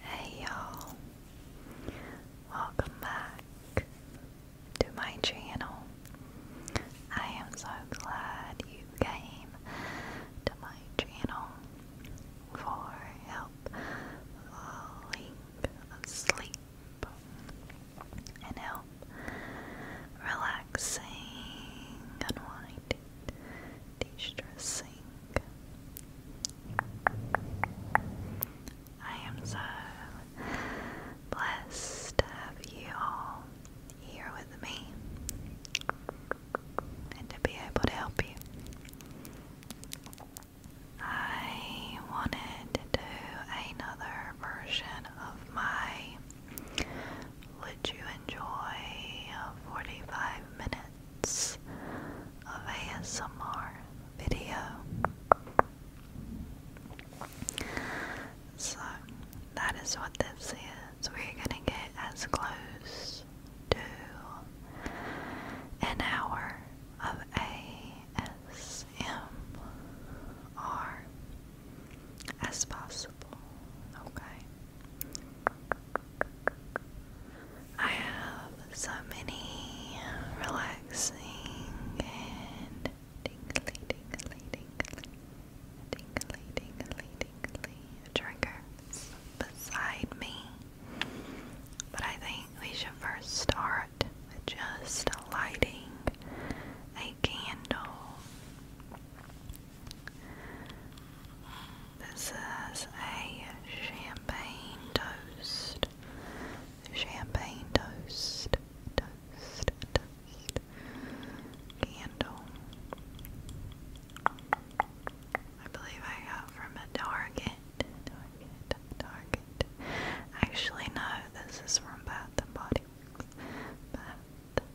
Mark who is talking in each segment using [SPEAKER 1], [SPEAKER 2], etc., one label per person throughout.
[SPEAKER 1] Hey y'all, welcome back to my channel. I am so glad you came to my channel for help falling asleep and help relaxing, unwinding, de I am so blessed to have you all here with me and to be able to help you. I wanted to do another version of my Would You Enjoy 45 Minute minutes of ASMR video. So that is what this is. We're gonna get as close to an hour of ASMR as possible. Okay. I have so many relaxing and tingly, tingly, tingly, tingly, tingly, tingly triggers beside me. But I think we should first start with just lighting a candle. This is a champagne toast. Champagne toast. Toast. Toast. Candle. I believe I got from a Target. Target. Target. Actually, no, this is from Bath and Body Works. Bath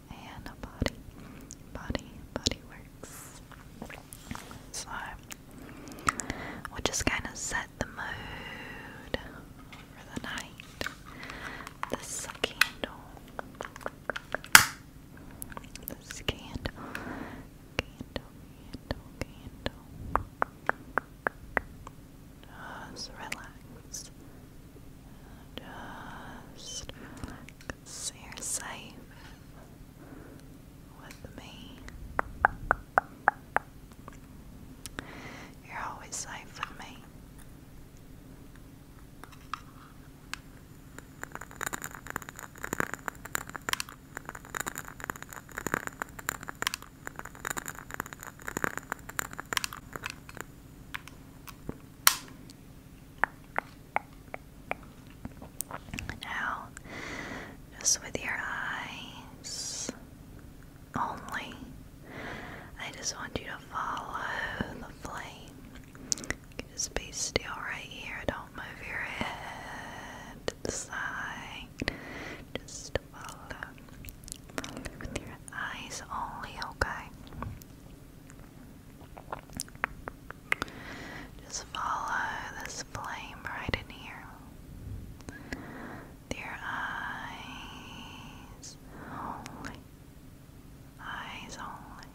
[SPEAKER 1] and body, body, body works. So we'll just kind of set the mood for the night. This candle, this candle, candle, candle, candle. Just relax. Just relax. So you're safe with me. You're always safe with me. Now, just with your eyes only, I just want you to follow the flame. just be still right here. Don't move your head to the side. Just Follow with your eyes only, okay? Just follow this flame right in here. Your eyes only. Eyes only.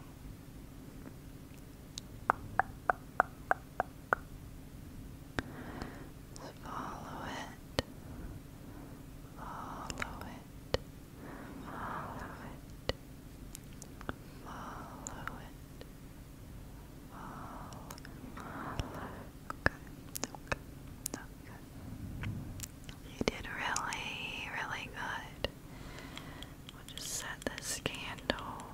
[SPEAKER 1] Just follow it. Follow it. Follow it it. Follow it. Follow, follow. Okay, okay, okay. You did really, really good. We'll just set this candle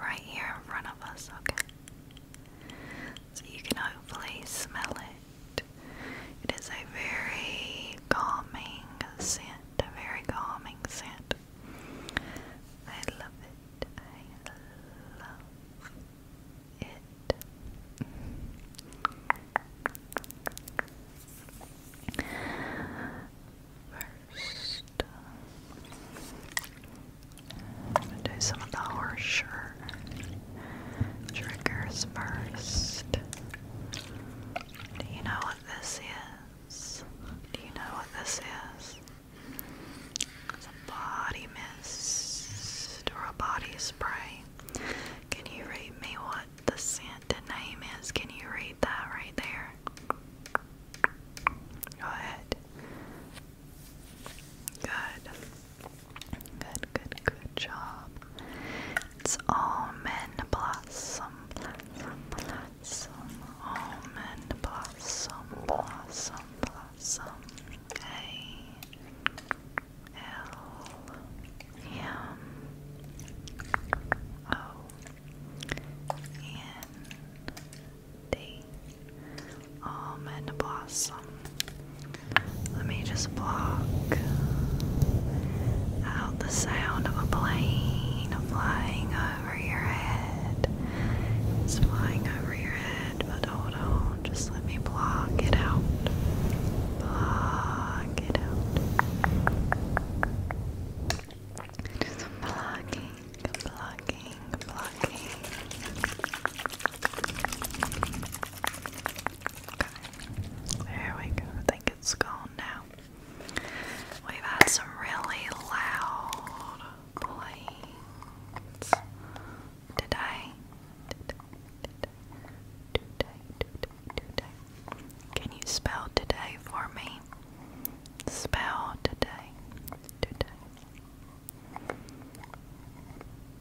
[SPEAKER 1] right here in front of us, okay? So you can hopefully smell it. It is a very calming scent. The very calming scent. I love it. I love it. First, I'm gonna do some of the harsher triggers first. Do you know this is? Do you know what this is? It's a body mist or a body spray. Can you read me what the scent name is? Can you read that right there? Go ahead. Good. Good, good, good job. It's almond blossom, blossom, blossom, blossom, A L M O N D almond blossom. Let me just block the sound of a plane flying over your head. It's flying over your head, but hold on, just let me block it out. Block it out. blocking, blocking, blocking. There we go. I think it's gone now. We've had some really loud planes today. Can you spell today for me? Spell Today.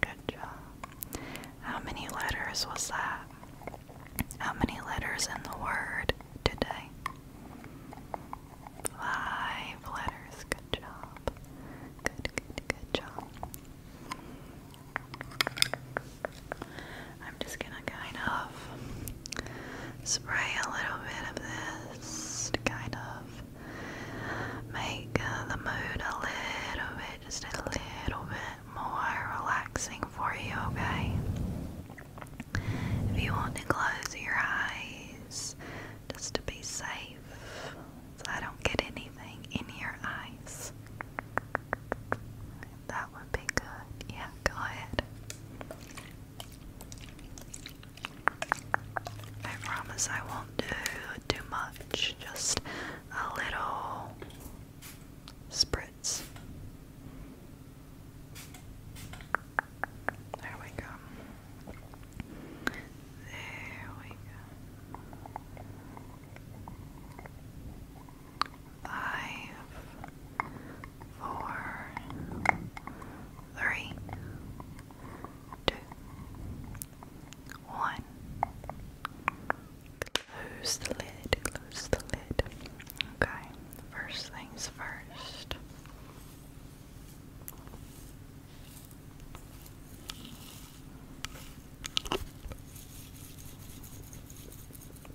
[SPEAKER 1] Good job. How many letters was that? How many letters in the word today. Five letters. Good job. Good, good, good job. I'm just gonna kind of spray a little bit of this kind of make uh, the mood a little bit, just a little bit more relaxing for you, okay? If you want to close your eyes just to be safe, so I don't get anything in your eyes, that would be good. Yeah, go ahead. I promise I won't do too much, just a little spritz. There we go. There we go. Five, four, three, two, one. Lose the lid, lose the lid. Okay, first things first.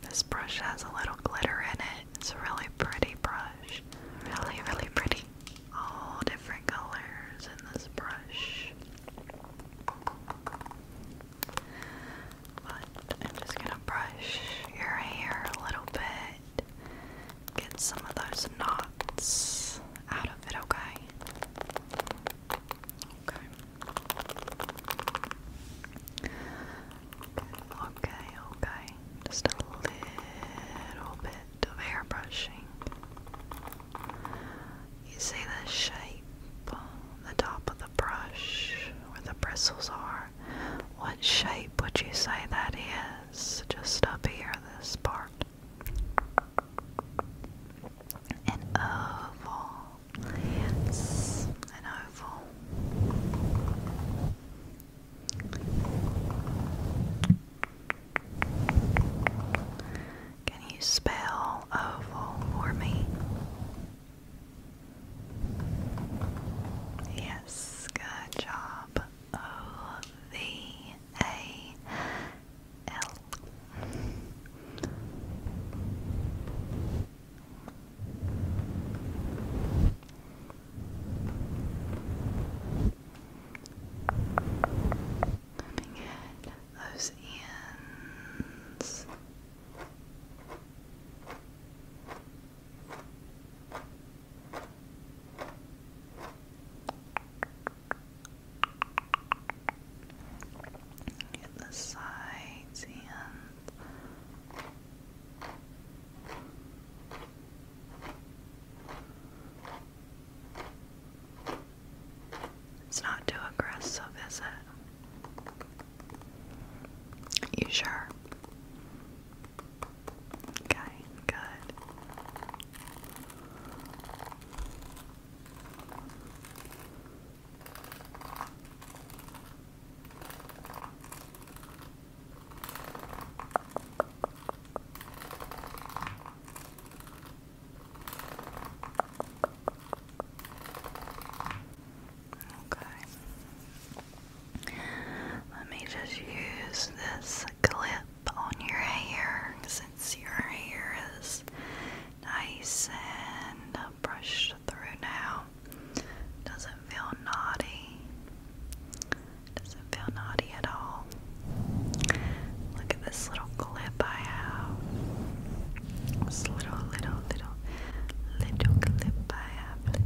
[SPEAKER 1] This brush has a little glitter in it. It's a really pretty brush. Really, really pretty. All different colors in this brush. But I'm just gonna brush your hair a little bit, get some of those knots out of it, okay? Okay. Okay, okay. Just a little bit of hair brushing. You see the shape, the top of the brush where the bristles are. What shape would you say that is? Just up here, this part. An oval. Yes, an oval. Can you spell oval for me? Yes, good job. O V A L. Coming in those ends. Get the sides and it's not too aggressive, is it? You sure? Okay, good. Okay. Let me just use this clip on your hair since your hair is nice and brushed through now. Doesn't feel naughty. Doesn't feel naughty at all. Look at this little clip I have. This little, little, little, little clip I little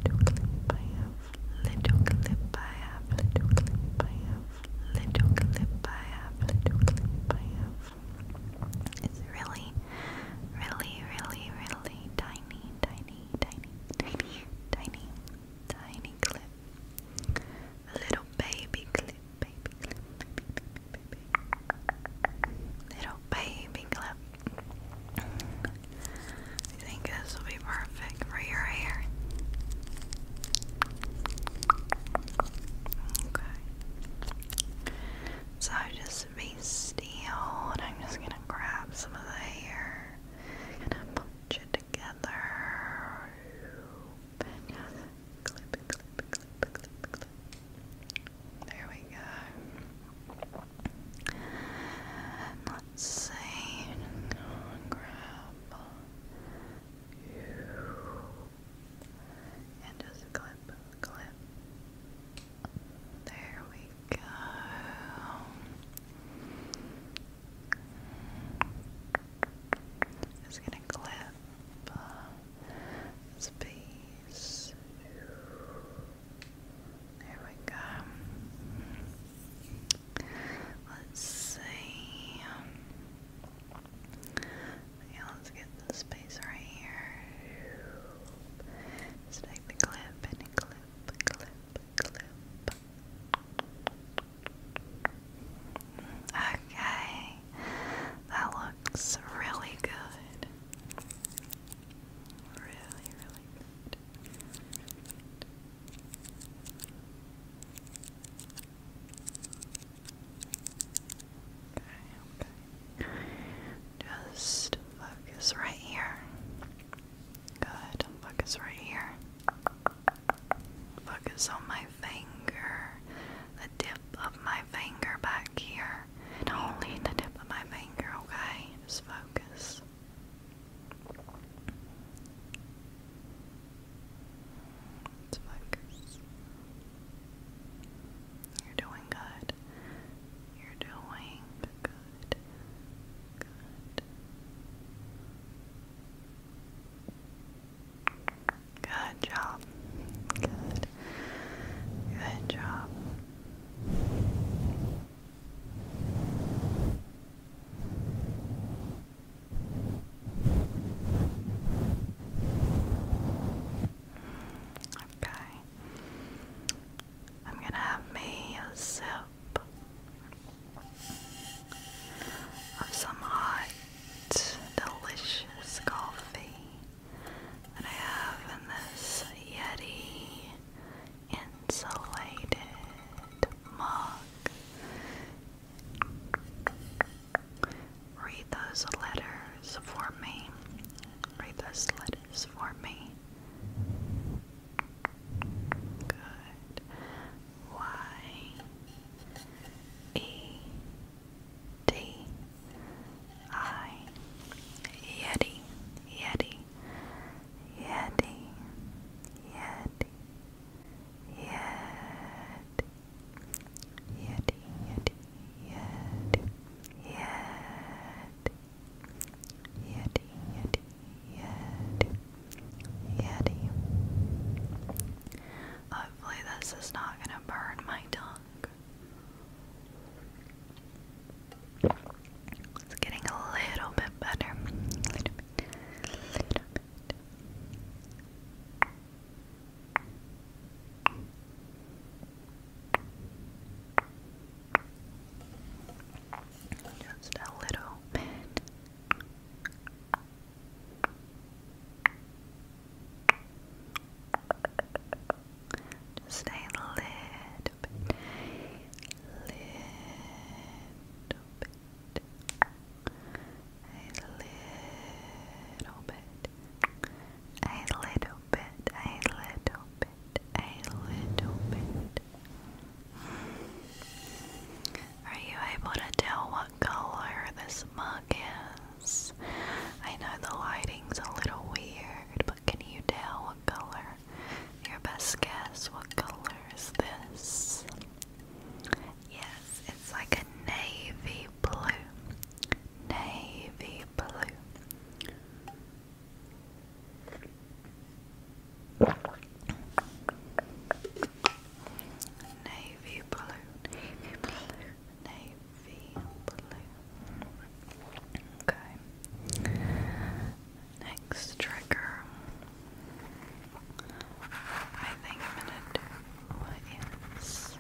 [SPEAKER 1] It's really, really, really, really tiny, tiny, tiny, tiny, tiny, tiny clip. little baby clip, Little baby clip. I think this will be perfect for your hair. Okay. So just be still I'm just gonna grab some of the hair. and I'm Gonna put it together. There we go. let's see. Grab and just clip, clip. There we go. Just gonna clip uh, there we go. Let's see. let's get this space right here. take the clip. Okay, that looks really good. Really, really good. Okay, okay. Just focus right here. Good. Focus right here. Focus on my finger, the tip of my finger back here finger. only the tip of my finger, okay? Just focus. focus. You're doing good. You're doing Good. Good job. Good. Good job. Okay. I'm gonna have me a sip of some hot, delicious coffee that I have in this Yeti insulated mug. Read those letters for me. Read those letters for me. Good. Y E D I Yeti Yeti Yeti Yeti Yeti Yeti Yeti Yeti Yeti Yeti Yeti Yeti Hopefully this is not gonna burn my tongue it's getting a little bit better. A A little bit. Just a little bit little little bit, a little bit, a little bit, a little bit, a little bit. Are you able to tell what color this mug is? I know the lighting's a little weird, but can you tell what color your best guess, what color is this? Yes, it's like a navy blue. Navy blue. Navy blue, navy blue, navy blue. Okay. Next trigger. I think I'm gonna do what is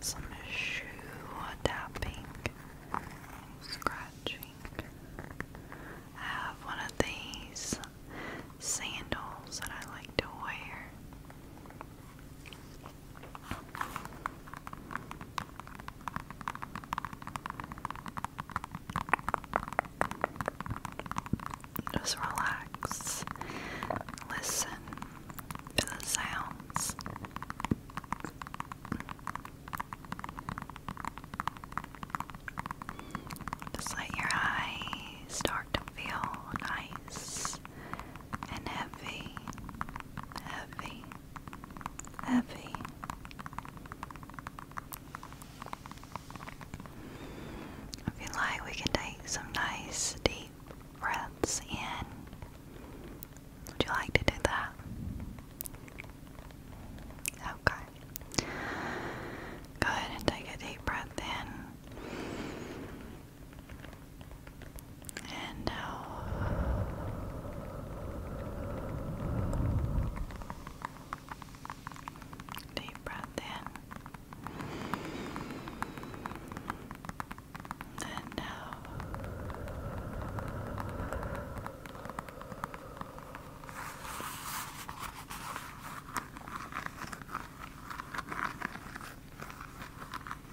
[SPEAKER 1] some shoe tapping scratching. I have one of these sandals that I like to wear. Just relax, listen to the sounds. Just let your eyes start to feel nice and heavy, heavy. Happy. If you like, we can take some nice deep breaths in. Would you like to do that? Okay. Go ahead and take a deep breath in. And now, uh, Deep breath in. And out.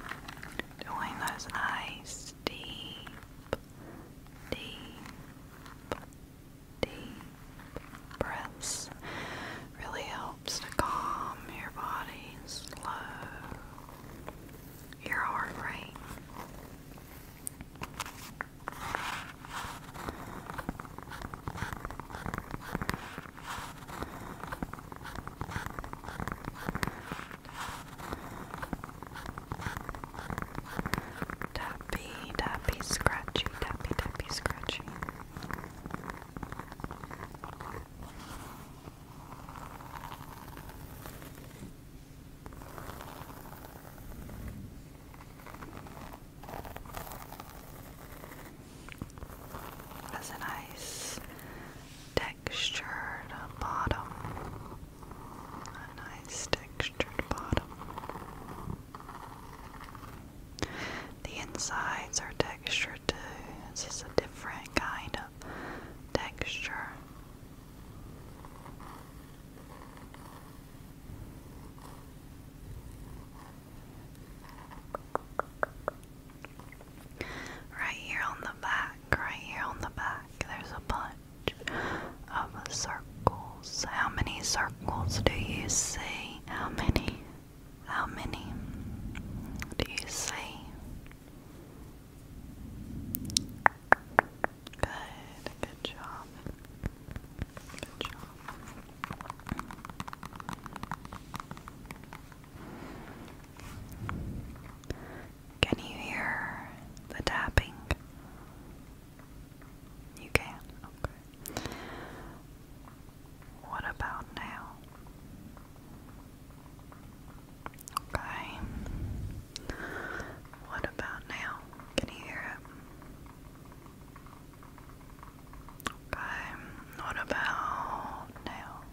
[SPEAKER 1] Uh, doing those eyes deep deep, deep breaths really helps to calm your body, slow your heart rate. Tappy, tappy, scratchy, tappy, tappy, scratchy. That's a nice day textured bottom. A nice textured bottom. The insides are textured too. It's is a different kind of texture. Right here on the back, right here on the back, there's a bunch of circles? How many circles do you see? How many? How many do you see? Good, Good job. Can you hear the tapping? You can, okay. What about now? Okay. What about now? Can you hear it? Okay. What about now?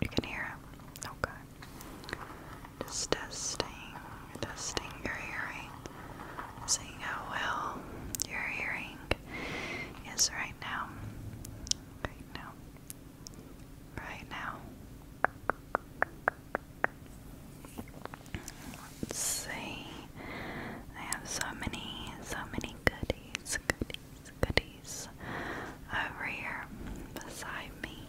[SPEAKER 1] You can hear him. Okay. Just testing, testing your hearing, seeing how well your hearing is right now. Right now. Right now. Let's see. I have so many, so many goodies goodies over here beside me.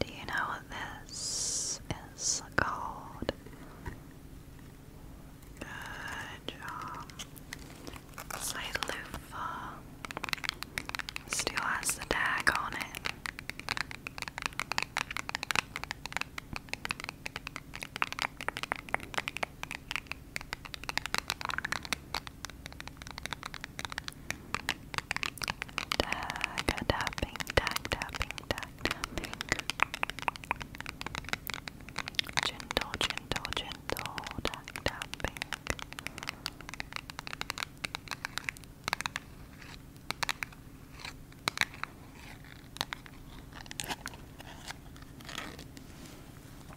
[SPEAKER 1] Do you know what this is called? Good job. It's a loofah. Still has the tag on it. Tag tapping, tag tapping, tag tapping. Gentle, gentle, gentle, tag tapping.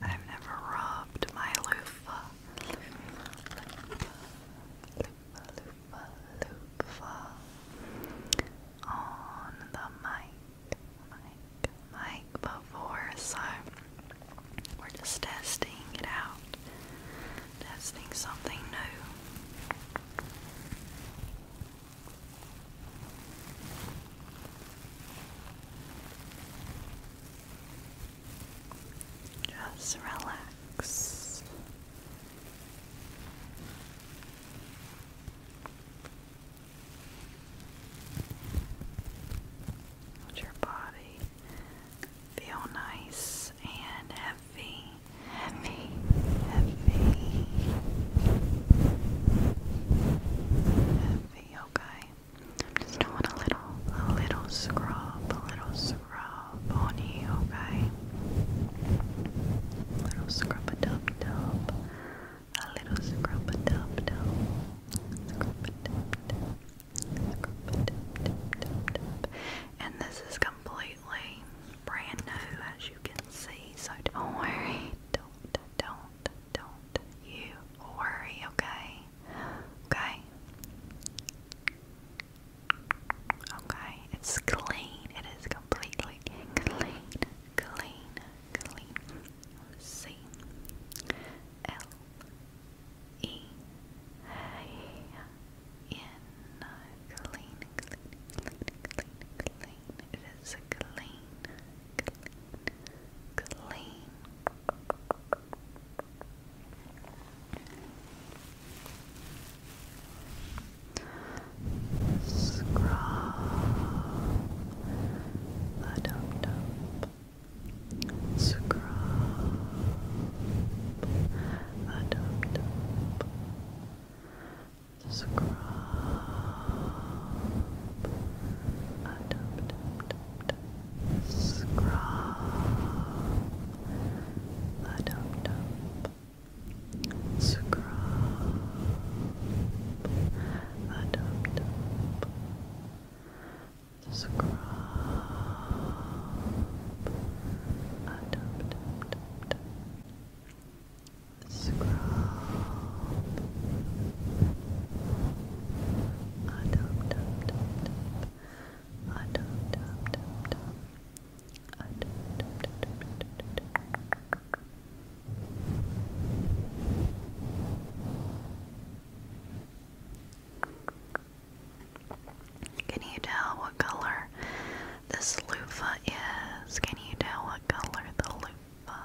[SPEAKER 1] I've never rubbed my loofah on the mic, mic, mic before, so we're just testing it out, testing something new. Just relax. Let your body feel nice and heavy, heavy, heavy, heavy, okay? I'm just doing a little, a little scrub, a little scrub on you, okay? A little scrub a dub dub, a little scrub a dub dub, scrub a dub dub, scrub a dub dub dub dub. And this is completely brand new, as you can see. So don't worry, don't, don't don't, you worry, okay? Okay? Okay, it's clean. It is completely clean, clean, clean. C L E in clean, clean, clean, clean, clean. It is clean, clean. Scrub the dump Scrub the dump Scrub the dump dump dump. Scrub the dum dum. Scrub the dum dum. Scrub the dum dum dum dum. Scrub Adopt, adopt, adopt, adopt, adopt, adopt, adopt. Can you tell what color this loofah is? Can you tell what color the loofah?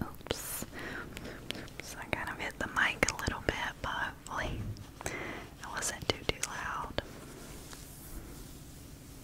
[SPEAKER 1] Oops. So I kind of hit the mic a little bit, but hopefully it wasn't too too loud.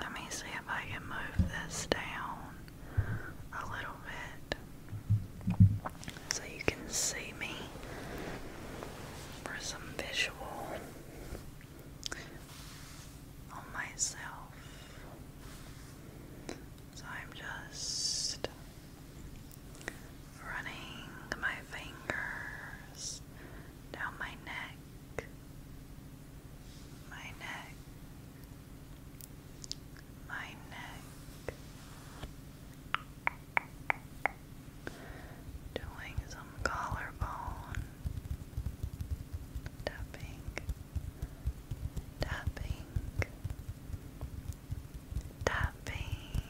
[SPEAKER 1] Let me see if I can move this down a little bit so you can see me for some visual on myself. So I'm just running my fingers down my neck, my neck, my neck, doing some collarbone tapping. Tapping, tapping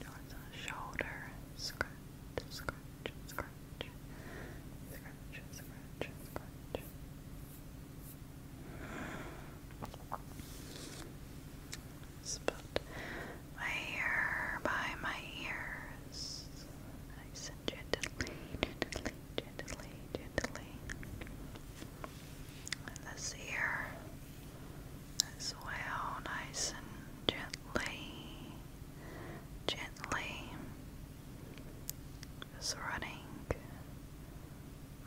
[SPEAKER 1] towards shoulder, scratch, scratch, scratch, scratch, scratch, scratch. Just my hair by my ears. I gently, gently, gently, gently this ear as well, nice and gently, gently, just running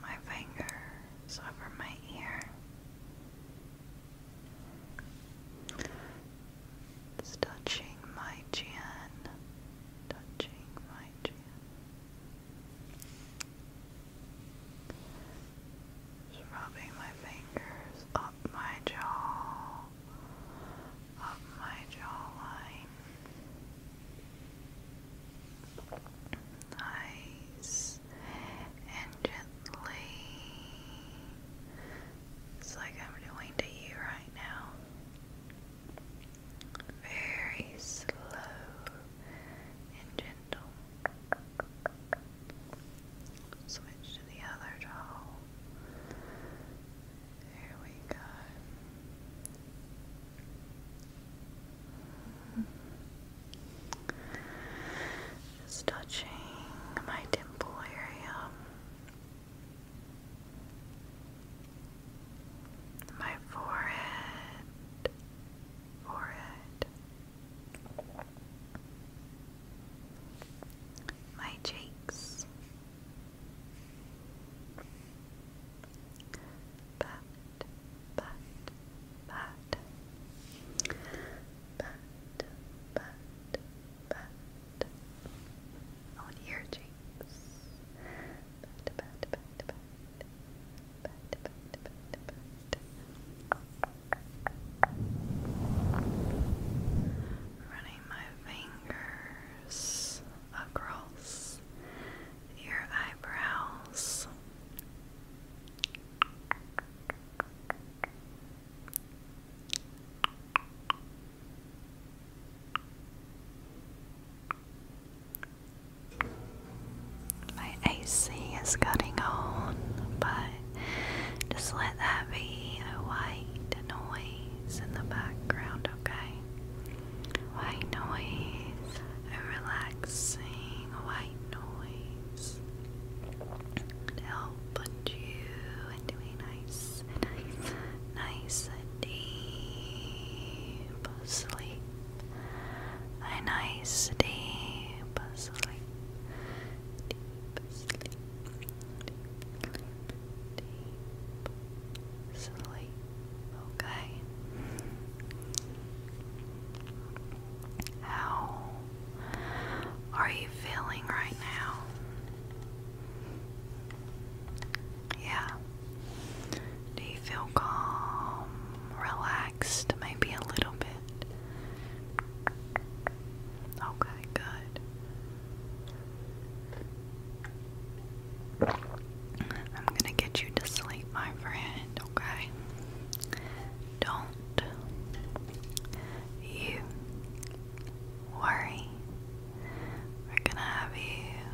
[SPEAKER 1] my fingers over my ear. touching my chin, touching my chin rubbing my fingers up my jaw, up my jawline. Nice and gently. It's like I'm doing to you right now very slow and gentle. Switch to the other jaw. There we go. Just touching my temple area. My forehead, forehead. My cheeks, pat, pat, pat, pat, pat, pat. On your cheeks, but, but, but, but. Running my fingers across your eyebrows. Good. My AC is cutting on, but just let that be a white noise in the background, okay? White noise, a relaxing white noise to help you into a nice, nice, nice, deep sleep a nice deep sleep. Deep sleep. Okay. How are you feeling right now? Yeah. Do you feel calm, relaxed, maybe a little bit? Okay, good. I'm gonna get you to sleep, my friend, okay? Don't you worry. We're gonna have you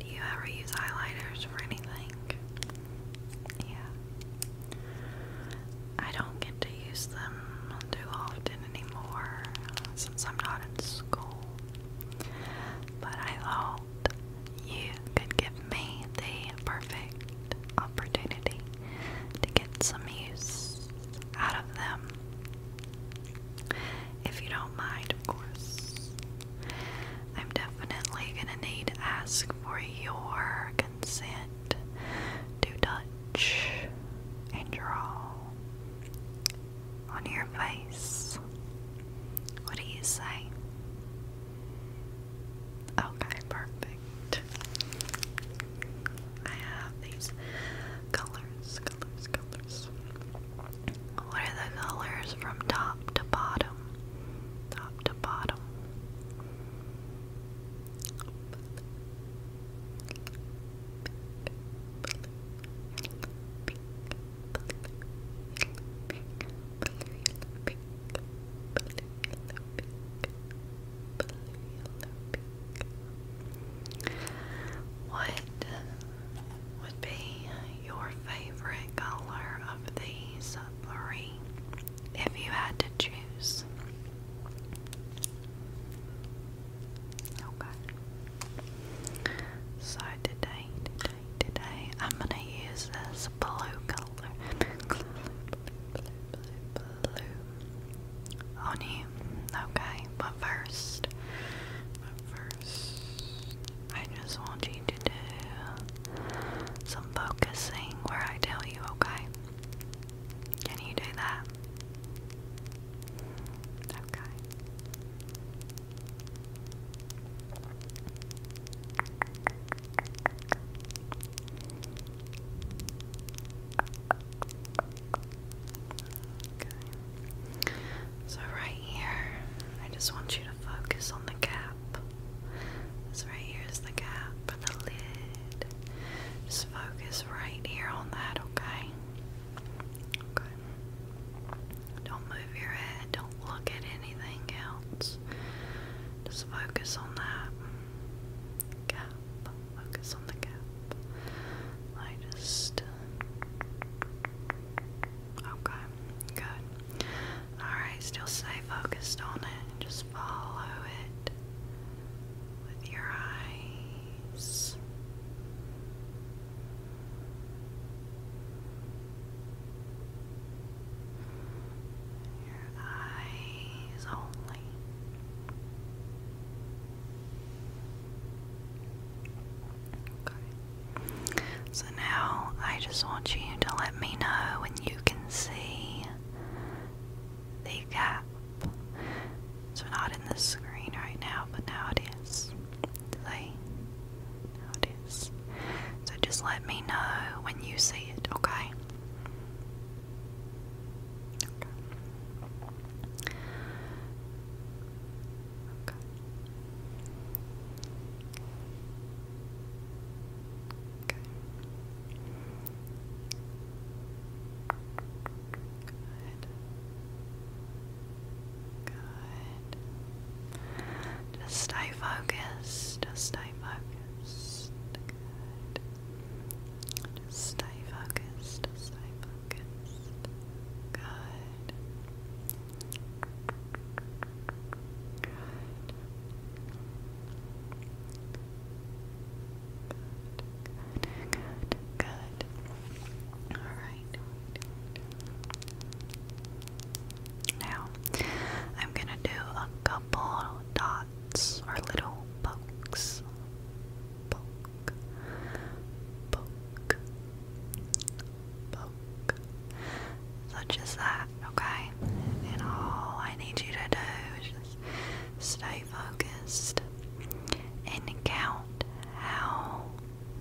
[SPEAKER 1] Do you ever use highlighters for anything? Yeah. I don't get to use them too often anymore since I'm not in school. But I hope you could give me the perfect opportunity to get some use out of them. If you don't mind, of course. I'm definitely gonna need to ask for your consent to touch and draw on your face. What do you say? Okay, perfect. I have these colors, colors, colors. What are the colors from top to bottom? Top to bottom. Pink, would be your favorite color of these three if you had to choose? Okay. So today, today, today, I'm gonna use this blue color, on you. Okay, but first, I just want you to do some focusing where I tell you, okay? Can you do that? Okay. So, right here, I just want you to focus on the gap. This right here is the gap for the lid. Just focus right here on that, okay? Okay. Don't move your head, don't look at anything else. Just focus on that gap. Focus on the gap. I just Okay, good. Alright, still stay focused on it. Just follow it with your eyes. Your eyes only. Okay. So now I just want you to let me know when you can see the gap. So not in the screen right now, but now it is. See? Now it is. So just let me know when you see it, okay? Okay. Okay. Just stay focused. Just stay focused. Good. stay focused. stay focused. Good. Good. Good, All right. Now, I'm going to do a couple dots or little pokes. Poke, poke, book such as that, okay? And all I need you to do is just stay focused and count how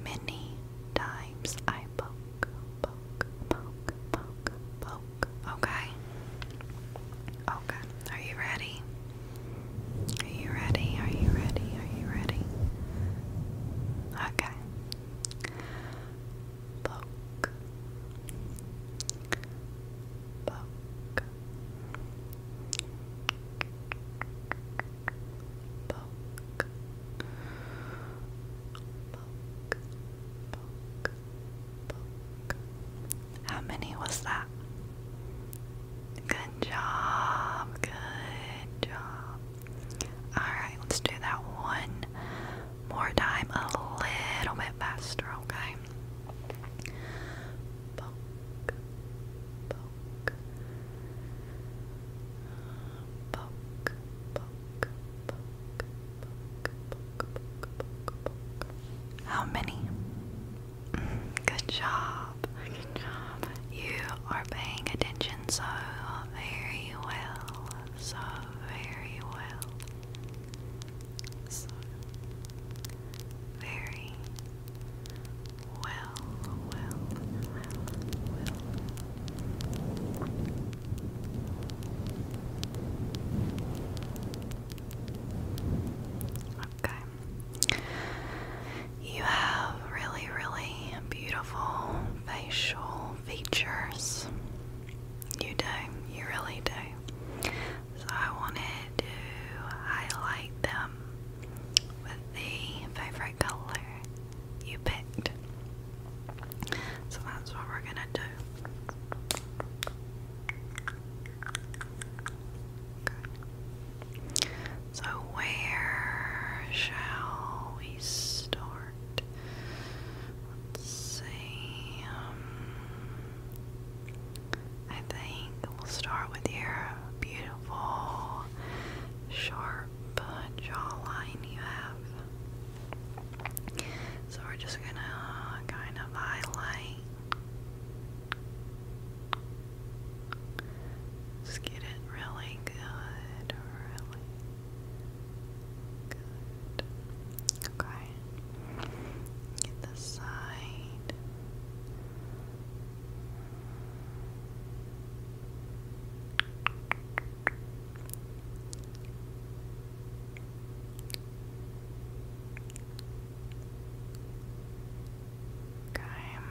[SPEAKER 1] many times I poke, poke, poke, poke, poke, okay? Okay, are you ready? Are you ready? Are you ready? Are you ready? Okay, poke, poke, poke, poke, poke, poke. How many was that? Good job, good job. Alright, let's do that one more time, a little bit faster, okay? Poke, poke, poke, poke, poke, poke, poke, poke, poke. How many? Good job. Good job. You are paying attention so very well, so very well, so very well, well, well, well. Okay. You have really, really beautiful facial features. You do, you really do. So I wanted to highlight them with the favorite color you picked. So that's what we're gonna do. So, where shall we start? Let's see. Um, I think we'll start with your beautiful, sharp jawline you have. So, we're just gonna kind of highlight. Just get it really good, really good. Okay. Get the side. Okay.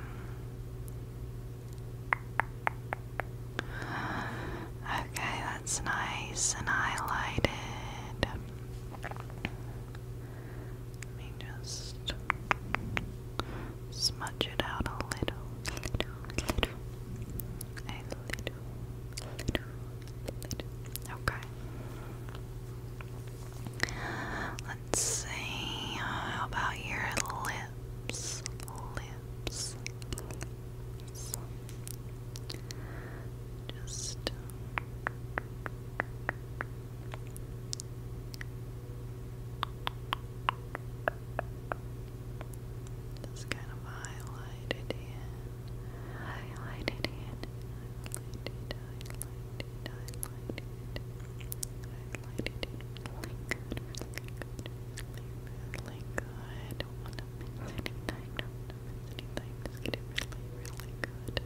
[SPEAKER 1] Okay, that's nice and highlighted. Let me just smudge it out a little, Okay. Let's see. about your lip? lips, lips, Just kind of highlight it in, it in, it, highlight it, highlight it, highlight it really good. Don't want to miss any time. Don't want miss any time. Just get really, really good.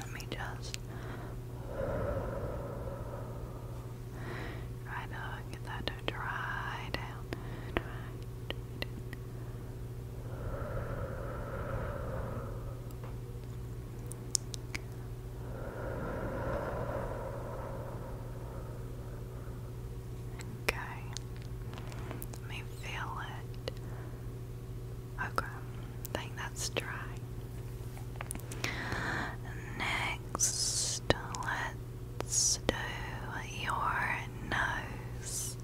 [SPEAKER 1] Let me just try to get that to dry down. dry down. Okay. Let me feel it. Okay. think that's dry. Next, let's do your nose.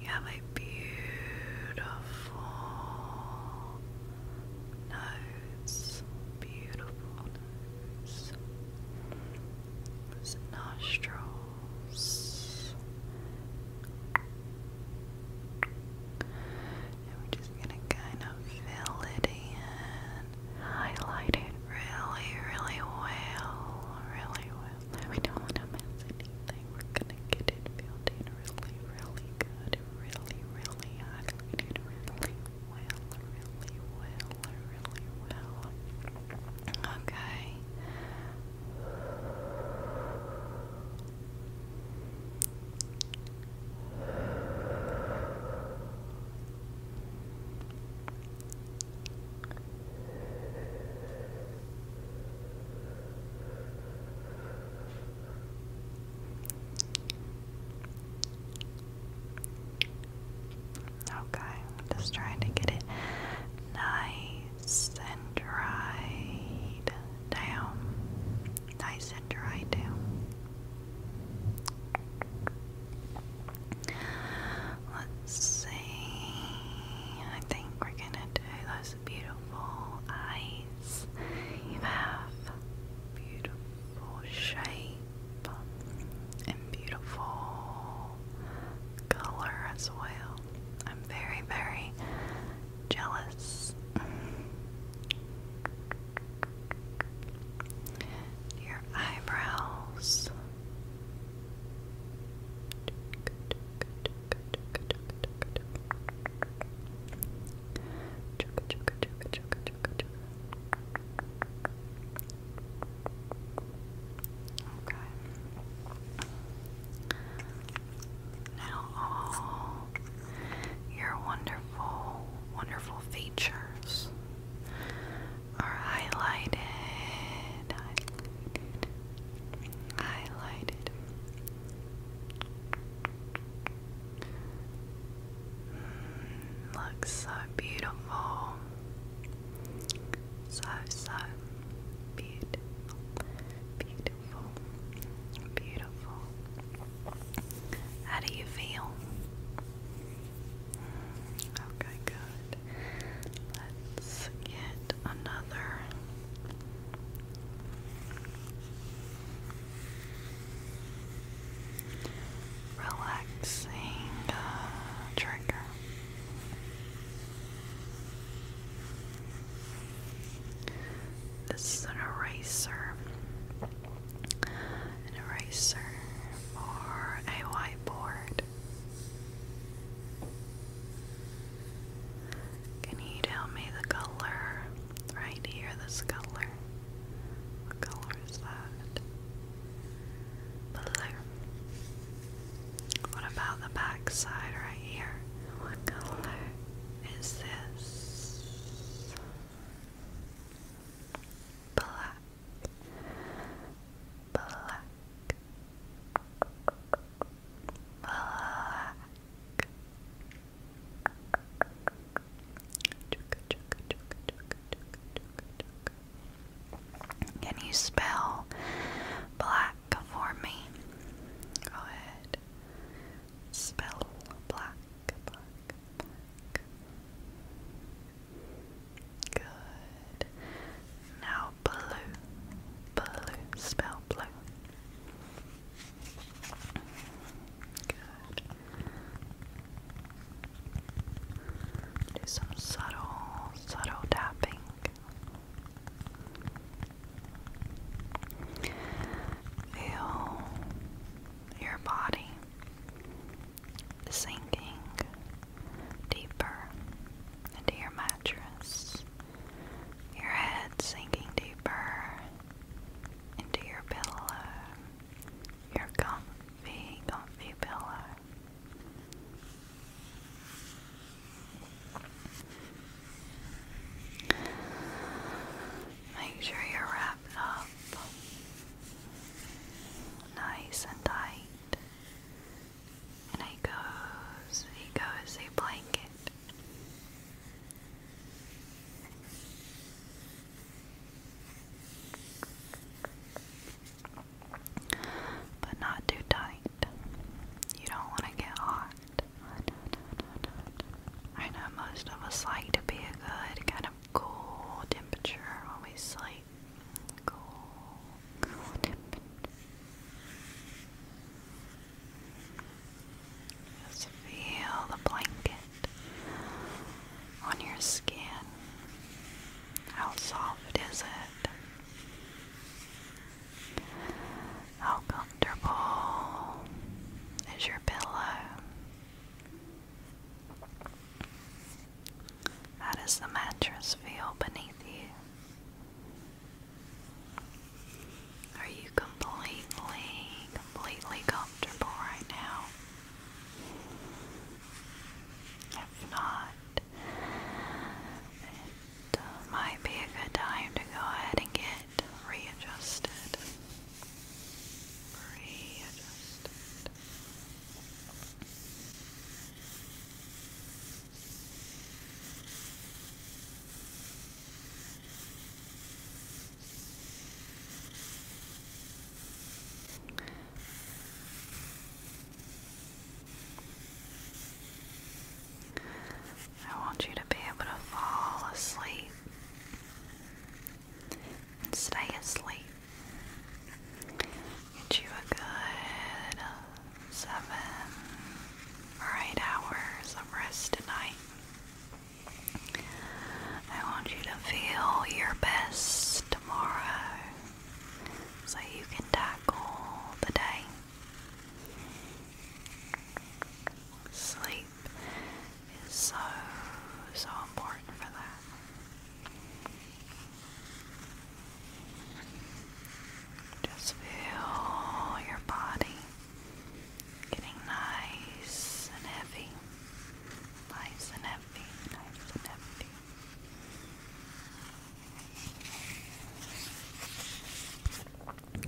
[SPEAKER 1] You have a beautiful nose nose, beautiful nostrils. And we're just gonna kind of fill it in, highlight it really, really well, really well. We don't want to miss anything. We're gonna get it filled in really, really good, really, really highlighted, really well, really well, really well. Okay. Okay, just trying to get it nice and dried down. Nice and dried down. Let's see. I think we're gonna do those beautiful eyes. You have beautiful shape and beautiful color as well. I'm very, very jealous. Your eyebrows. Okay. Now, all your wonderful, wonderful features are highlighted, highlighted looks so beautiful. So, so Beautiful. Beautiful. How do you feel? Okay, good. Let's get another relaxing uh, trigger. This is an eraser, an eraser or a whiteboard. Can you tell me the color? Right here, this color. What color is that? Blue. What about the back side right here? What color is this? Black. Black. Black. Can you spell black for me? Go ahead. Spell black, Good. Now blue, blue, spell blue. Good. Do some subtle, subtle tapping. Feel your body sinking deeper into your mattress, your head sinking deeper into your pillow your comfy, comfy pillow. Make sure you're wrapped up nice and tight in a cozy, cozy blanket. But not too tight. You don't want to get hot. I know most of us like to be a good kind of cool temperature when we sleep. Cool, cool temperature. Just feel the blanket on your skin. How soft is it? How comfortable is your pillow? How does the mattress feel beneath you? Are you completely, completely comfortable right now? If not, it uh, might be a good time to go ahead and get readjusted. I want you to be able to fall asleep and stay asleep. Get you a good uh, seven or eight hours of rest tonight. I want you to feel your best tomorrow so you can tackle the day. Sleep is so, so important for that. Just feel your body getting nice and heavy. Nice and empty, nice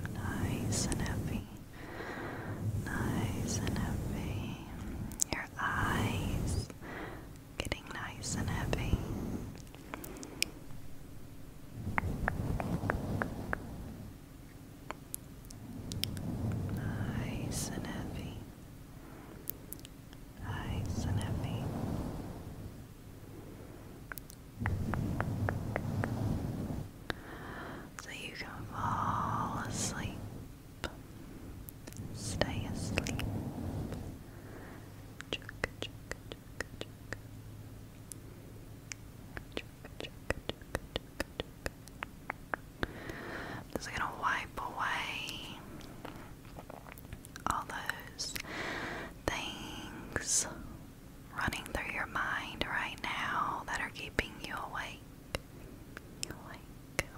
[SPEAKER 1] and empty. Nice and heavy, nice and heavy. Your eyes getting nice and heavy. Nice and heavy. Nice and heavy. So you can fall asleep. Stay asleep just gonna wipe away all those things running through your mind right now that are keeping you awake.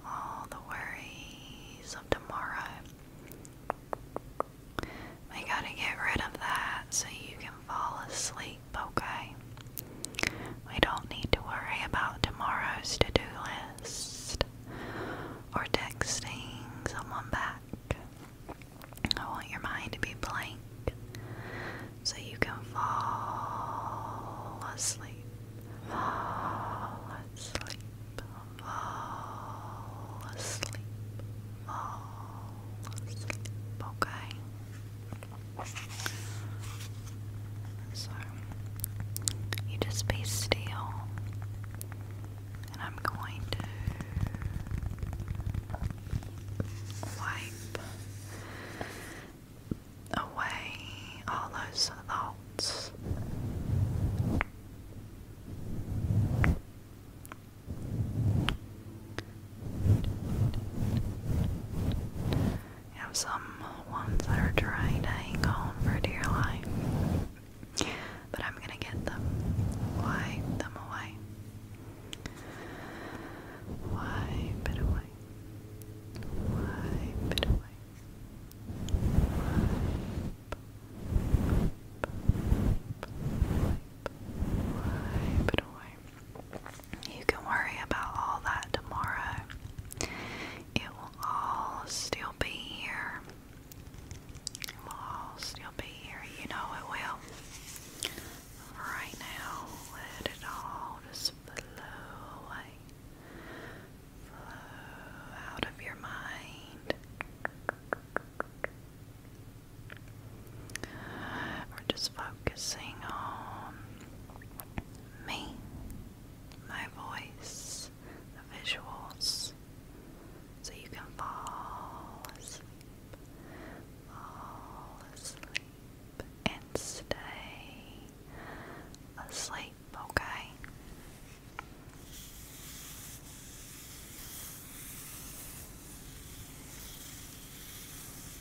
[SPEAKER 1] all the worries of tomorrow. We gotta get rid of that so you can fall asleep, okay? We don't need to worry about tomorrow's to do list or texting someone back. I want your mind to be blank so you can fall asleep. Fall asleep. Fall asleep. Fall asleep. Okay. So, you just be still, and I'm going to wipe away all those thoughts. You have some ones that are trying to hang on for dear life. But I'm gonna get them. Wipe them away. Wipe it away. Wipe it away. wipe it away. You can worry about all that tomorrow. It will all still be here. It will all still be here. You know it will. Right now, let it all just flow away. Flow out of your mind. We're just focusing on me my voice, the visuals, so you can fall asleep, fall asleep, and stay asleep, okay?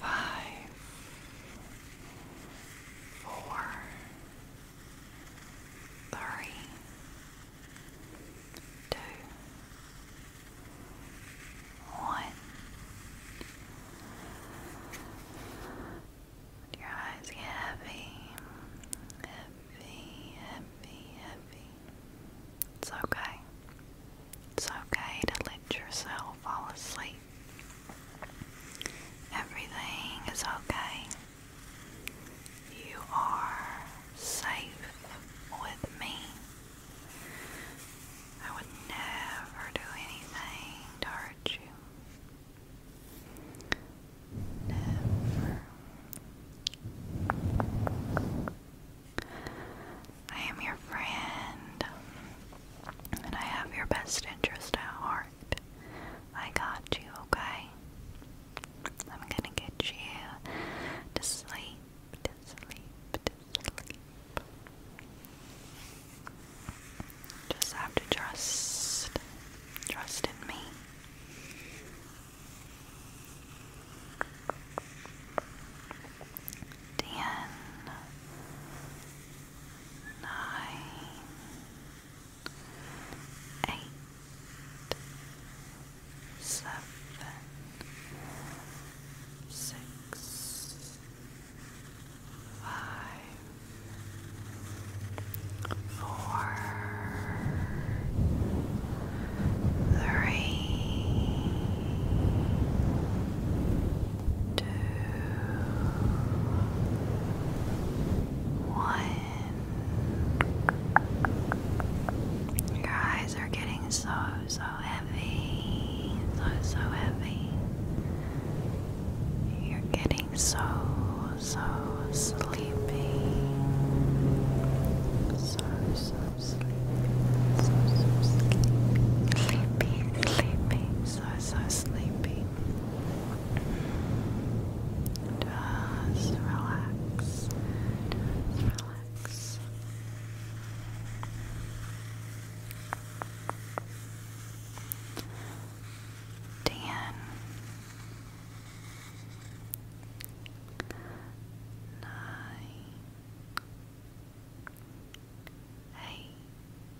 [SPEAKER 1] five, four, three, two, one. Your eyes get heavy, heavy, heavy, heavy. It's okay. It's okay to let yourself fall asleep. Everything is okay. You are safe with me. I would never do anything to hurt you. I am your friend and I have your best interest at heart. I got you, okay? I'm gonna get you to sleep, to sleep, to sleep. Just have to trust, trust in me ten, nine, eight, seven, six, five, four, three two, one. Your eyes are getting so, so heavy, so, so heavy. You're getting so, so sleepy. So, so sleepy. So, so sleepy. Sleepy, sleepy, so, so sleepy. Just relax. relax. Dan. Eight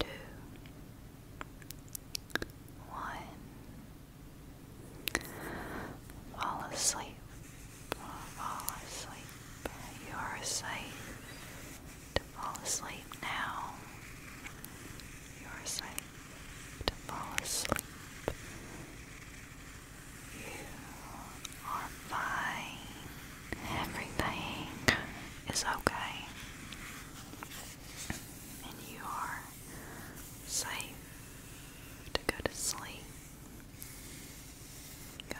[SPEAKER 1] two, one. Fall asleep. Fall asleep. You are safe to fall asleep now. You are safe to fall asleep. You are fine. Everything is okay and you are safe to go to sleep. Go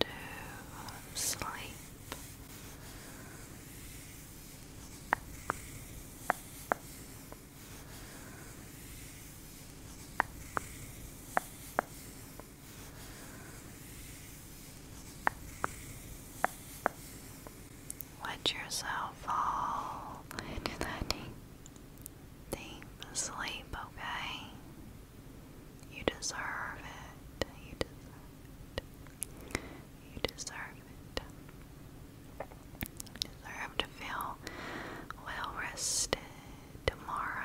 [SPEAKER 1] to sleep. Let yourself fall into that deep, sleep, okay? You deserve it. You deserve it. You deserve it. You deserve to feel well rested Tomorrow.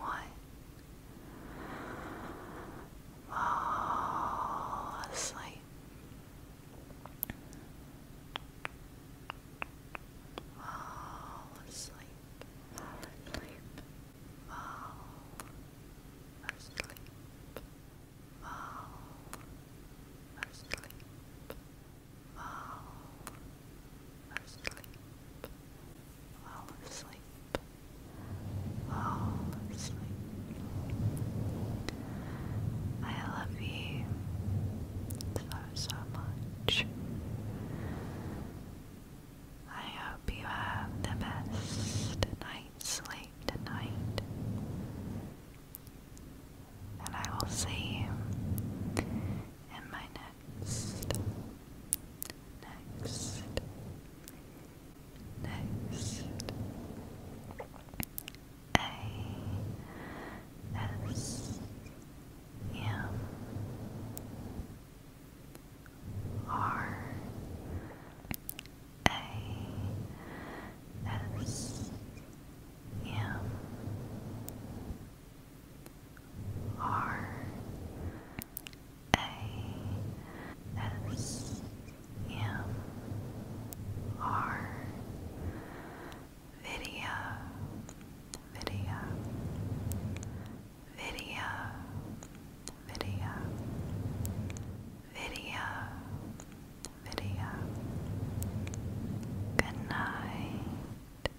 [SPEAKER 1] One. Fall asleep. Fall asleep. Fall asleep. Fall asleep. Fall asleep. Fall asleep, fall asleep, fall asleep. I love you so, so much. I hope you have the best night's sleep tonight. And I will see you in my next next, next, next. A S M R A S M R A S M R Video Video Video Video Video Good night